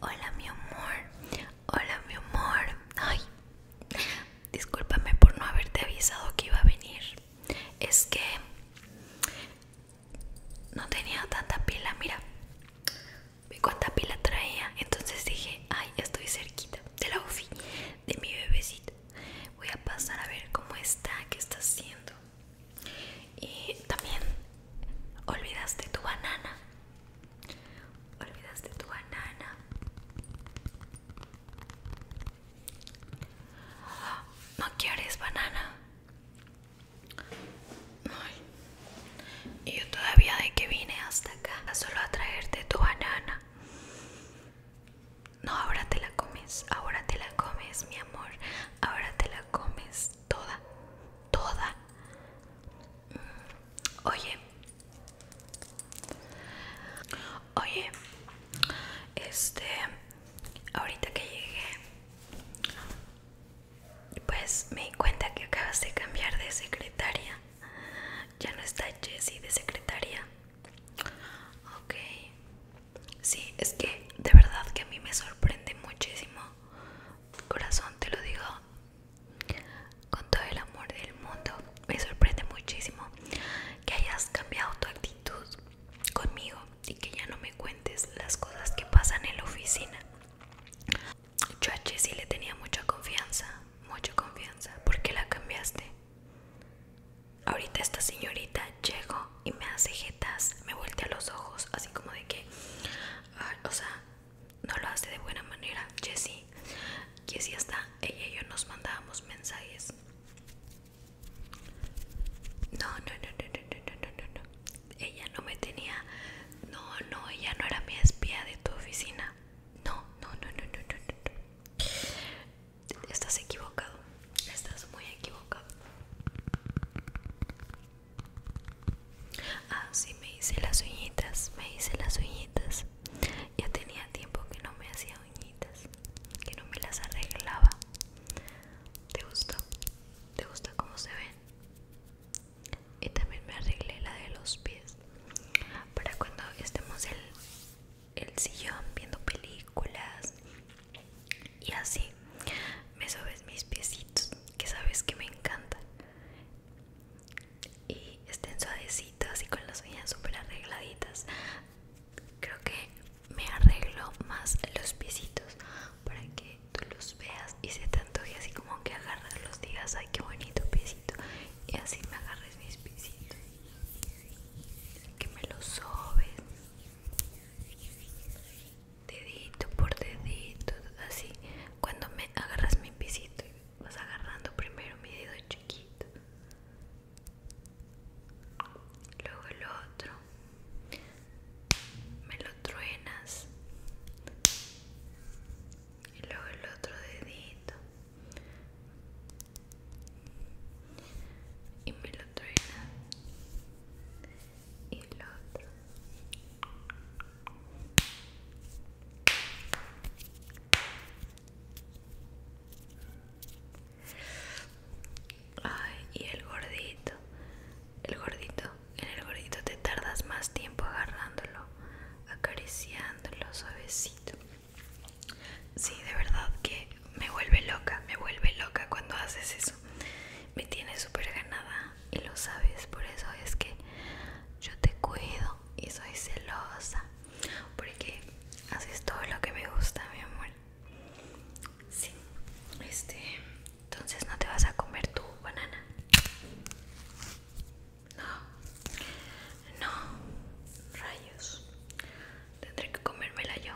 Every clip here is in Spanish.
Hola mi amor, hola mi amor. Ay, discúlpame por no haberte avisado que iba a venir. Es que no tenía tanta pila, mira. Vi cuánta pila traía, entonces dije, ay, estoy cerquita de la UFI de mi bebecita. Voy a pasar a ver cómo está, qué está haciendo. Y también olvidaste tu banana. Olvidaste tu banana. No quieres banana. Y yo todavía de que vine hasta acá solo a traerte tu banana. No, ahora te la comes, ahora te la comes, mi amor. Ahora te la comes toda, toda. Mm, oye, oye, este, ahorita que llegué, pues me di cuenta que acabas de cambiar de secretaria. Ya no está Jessie de secretaria. Ok. Sí, es que de verdad que a mí me sorprende muchísimo. Corazón, te lo digo con todo el amor del mundo. Me sorprende muchísimo que hayas cambiado tu actitud conmigo y que ya no me cuentes las cosas que pasan en la oficina yo a Jessy le tenía mucha confianza, mucha confianza. ¿Por qué la cambiaste? Ahorita esta señorita llegó y me hace jetas, me voltea los ojos, así como de que, ah, o sea, no lo hace de buena manera. Jessie. Jessy está, ella y yo nos mandábamos mensajes. No, no, no, no, no, no, no, no, no. Ella no me tenía, no, no, ella no era mi espía de tu oficina. No, no, no, no, no, no, no. Estás equivocado. Estás muy equivocado. Ah, sí, me hice las uñitas. Me hice las uñitas. Ya tenía tiempo que no me hacía uñitas. Que no me las arreglaba. ¿Te gusta? ¿Te gusta cómo se ven? y también me arreglé la de los pies para cuando estemos en el sillón viendo películas y así me sobes mis piecitos que sabes que me encanta y estén suavecitos y con las uñas súper arregladitas creo que me arreglo más los piecitos para que tú los veas y se te antoje así como que los digas ay qué bonito piecito y así me agarres mis pisitos que me los sobes dedito por dedito así cuando me agarras mi pisito vas agarrando primero mi dedo chiquito luego el otro me lo truenas y luego el otro dedito y me lo y el otro Ay, y el gordito el gordito, en el gordito te tardas más tiempo agarrándolo, acariciándolo suavecito. Sí, de verdad que me vuelve loca, me vuelve loca cuando haces eso. Me tiene súper ganada y lo sabes, por eso es que yo te cuido y soy celosa. Porque haces todo lo que me gusta, mi amor. Sí, este, entonces no te vas a comer tu banana. No, no, rayos. Tendré que comérmela yo.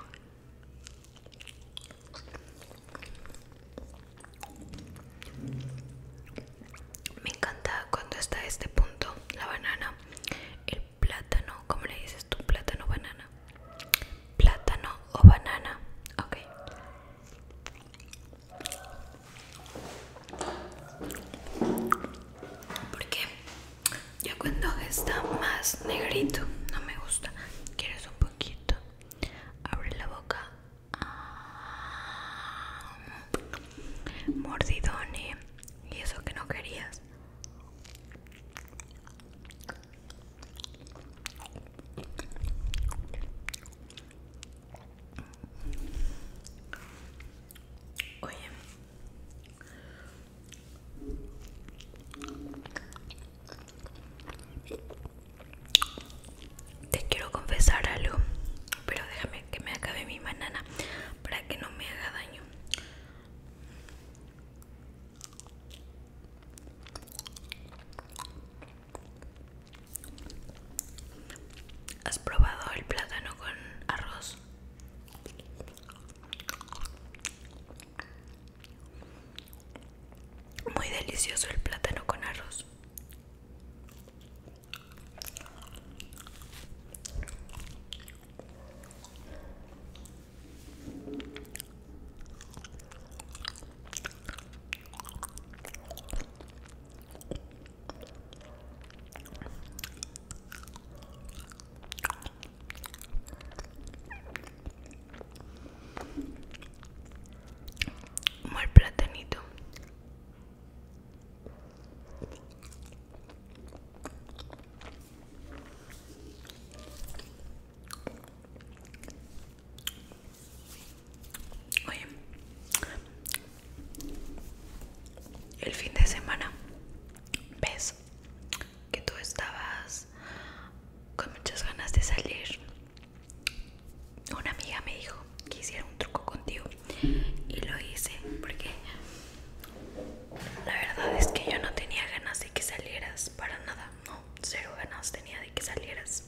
Me encanta cuando está a este punto la banana, el plátano, ¿cómo le dices tú? Plátano, banana. Plátano o banana. Ok. Porque ya cuando está más negrito, no me gusta. ¿Quieres un poquito? Abre la boca. Ah, Mordidón Y eso que no querías. Oye, te quiero confesar algo, pero déjame que me acabe mi banana para que no me haga daño. ¿Has probado el plátano con arroz? Muy delicioso el plátano con arroz. Muy platanito. Oye, el fin de semana ves que tú estabas con muchas ganas de salir. Una amiga me dijo que hiciera un truco contigo y lo hice porque la verdad es que yo no tenía ganas de que salieras para nada, no cero ganas tenía de que salieras.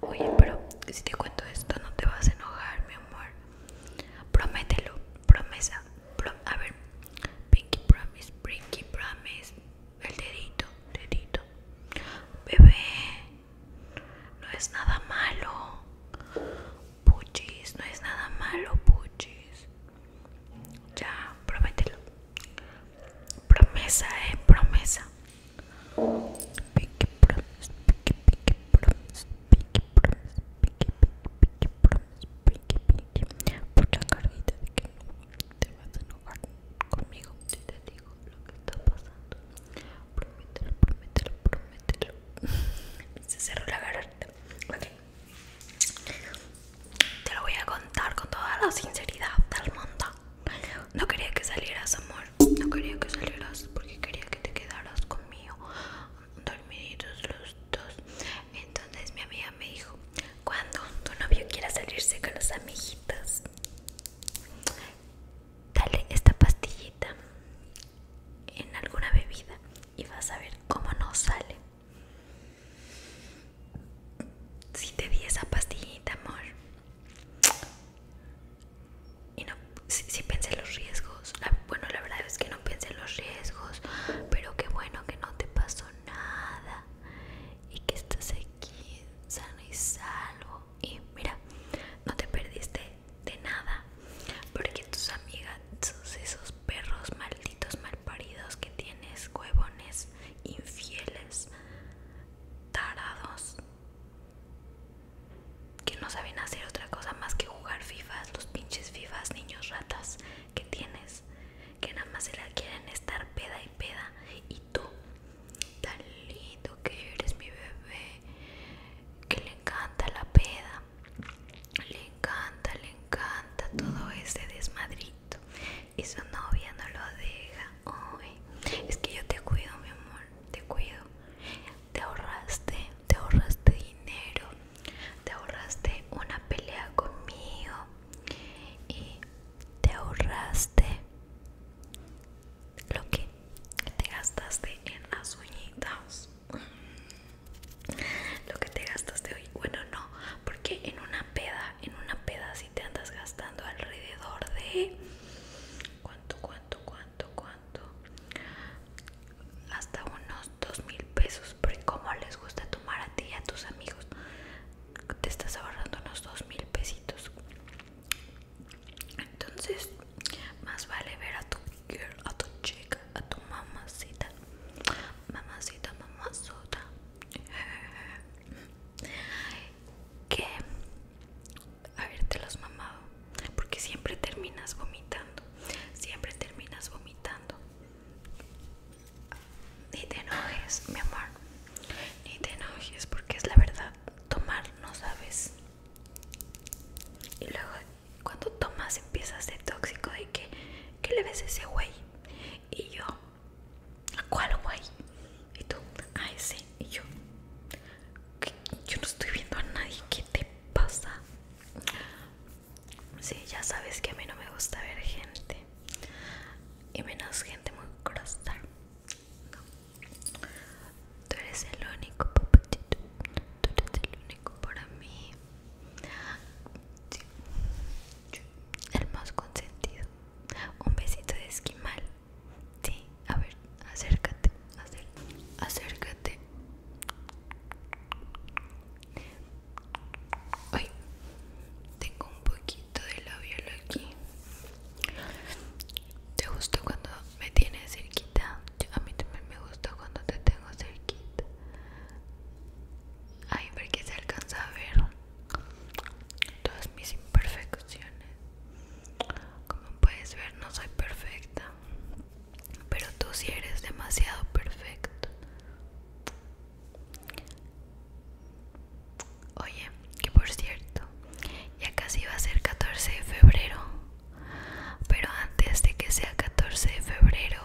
Oye, pero si te cuento esto, no te vas a enojar, mi amor. Promételo, promesa. a ver, Pinky Promise, Pinky Promise. El dedito, dedito. Bebé, no es nada malo. Puchis, no es nada malo, puchis. Ya, promételo. Promesa, eh, es promesa. Pique, pique, Pique, pique, pique, te vas a enojar conmigo te digo lo que está pasando. Promételo, promételo, promételo. Se la garganta. Te lo voy a contar con toda la sinceridad del mundo. No quería que salieras, amor. No quería que salieras porque quería que te quedaras conmigo. Dormiditos los dos. Entonces mi amiga me dijo, cuando tu novio quiera salirse con las amiguitos, dale esta pastillita en alguna bebida y vas a ver cómo no sale. Si te di esa pastillita, amor. Y no, Si pensé en los riesgos. Ah, bueno, la verdad es que no pensé en los riesgos. Pero qué bueno que no te pasó nada. Y que estás aquí sano y salvo. Y mira, no te perdiste de nada. Porque tus amigas, esos perros malditos malparidos que tienes, huevones, infieles, tarados, que no saben hacer otra cosa más que jugar fifas, los pinches fifas, niños ratas que tienes, que nada más se la quieren estar peda y peda, y tú, tan lindo que eres mi bebé, que le encanta la peda. Le encanta, le encanta todo ese desmadrito. Y su novia no lo deja. hoy. es que yo te cuido, mi amor. Te cuido. Te ahorraste, te ahorraste dinero. Te ahorraste una pelea conmigo. Y te ahorraste lo que te gastaste en las uñitas lo que te gastas de hoy. Bueno, no, porque en una peda, en una peda si te andas gastando alrededor de cuánto, cuánto, cuánto, cuánto, hasta unos dos mil pesos. Pero como les gusta tomar a ti y a tus amigos, te estás ahorrando unos dos mil pesitos. Entonces, más vale ver a tu a tu chica, a tu mamacita, mamacita, mamazota, que te los mamado, porque siempre terminas vomitando, siempre terminas vomitando. Ni te enojes, mi amor, ni te enojes, porque es la verdad. Tomar no sabes. Y luego cuando tomas empiezas de tóxico de que, ¿qué le ves a ese güey? Y yo, ¿a cuál güey? Y tú, a ese. Y yo, yo no estoy viendo a nadie, ¿qué te pasa? Sí, ya sabes que a mí no me gusta ver gente. Y menos gente muy crosstar. Tú eres el único, tú eres el único para mí el más consentido un besito de esquimal sí a ver acércate acércate ay tengo un poquito de labial aquí te gustó cuando me tienes cerquita a mí también me gusta cuando te tengo tengo cerquita ahí porque se alcanza a ver todas mis imperfecciones como puedes ver no soy perfecta pero tú sí eres demasiado perfecto oye que por cierto ya casi va a ser 14 de febrero pero antes de que sea 14 de febrero,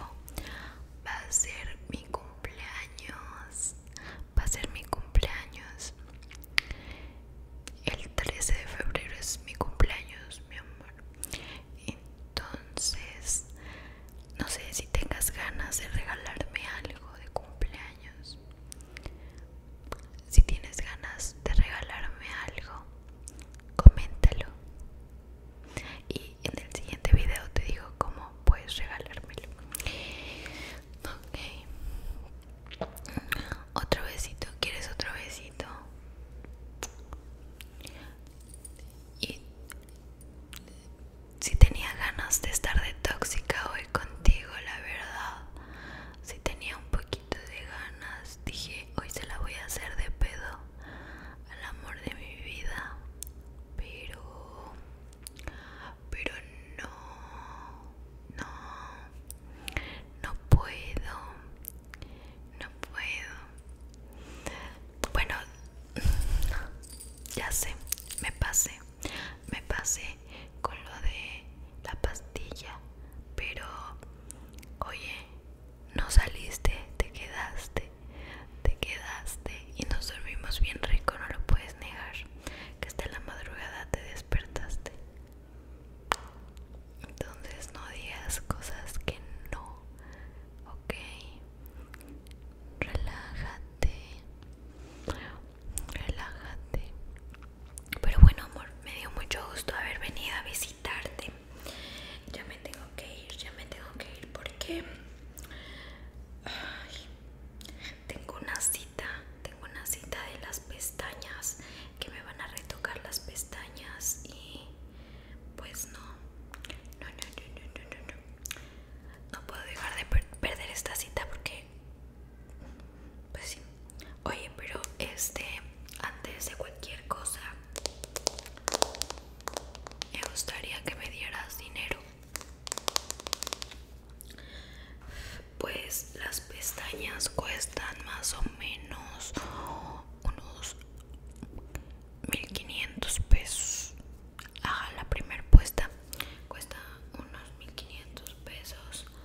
va a ser mi cumpleaños. Va a ser mi cumpleaños. El 13 de febrero es mi cumpleaños, mi amor. Entonces, no sé si tengas ganas de regalarme algo de cumpleaños. Si tienes ganas de regalarme algo, coméntalo y en el siguiente video te digo cómo puedes regalármelo ok otro besito quieres otro besito y si tenía ganas de estar de tóxica hoy contigo la verdad si tenía un poquito de ganas dije hoy se la voy a hacer de pedo al amor de mi vida pero pero no no no puedo no puedo bueno ya sé me pasé me pasé con lo de la pastilla, pero oye, no saliste, te quedaste, te quedaste y nos dormimos bien rico, no lo puedes negar, que hasta la madrugada te despertaste. Entonces no digas cosas que no, ok. Relájate, relájate. Pero bueno, amor, me dio mucho gusto haber venido a visitarte. Ya me tengo que ir, ya me tengo que ir porque tengo una cita, tengo una cita de las pestañas que me van a retocar las pestañas y pues no, no, no, no, no, no, no, puedo dejar de perder esta cita porque pues sí. Oye, pero este, antes de cualquier cosa, me gustaría que me dieras dinero. Pues las pestañas cuestan más o menos unos 1500 pesos. Ajá, la primera puesta cuesta unos 1500 pesos.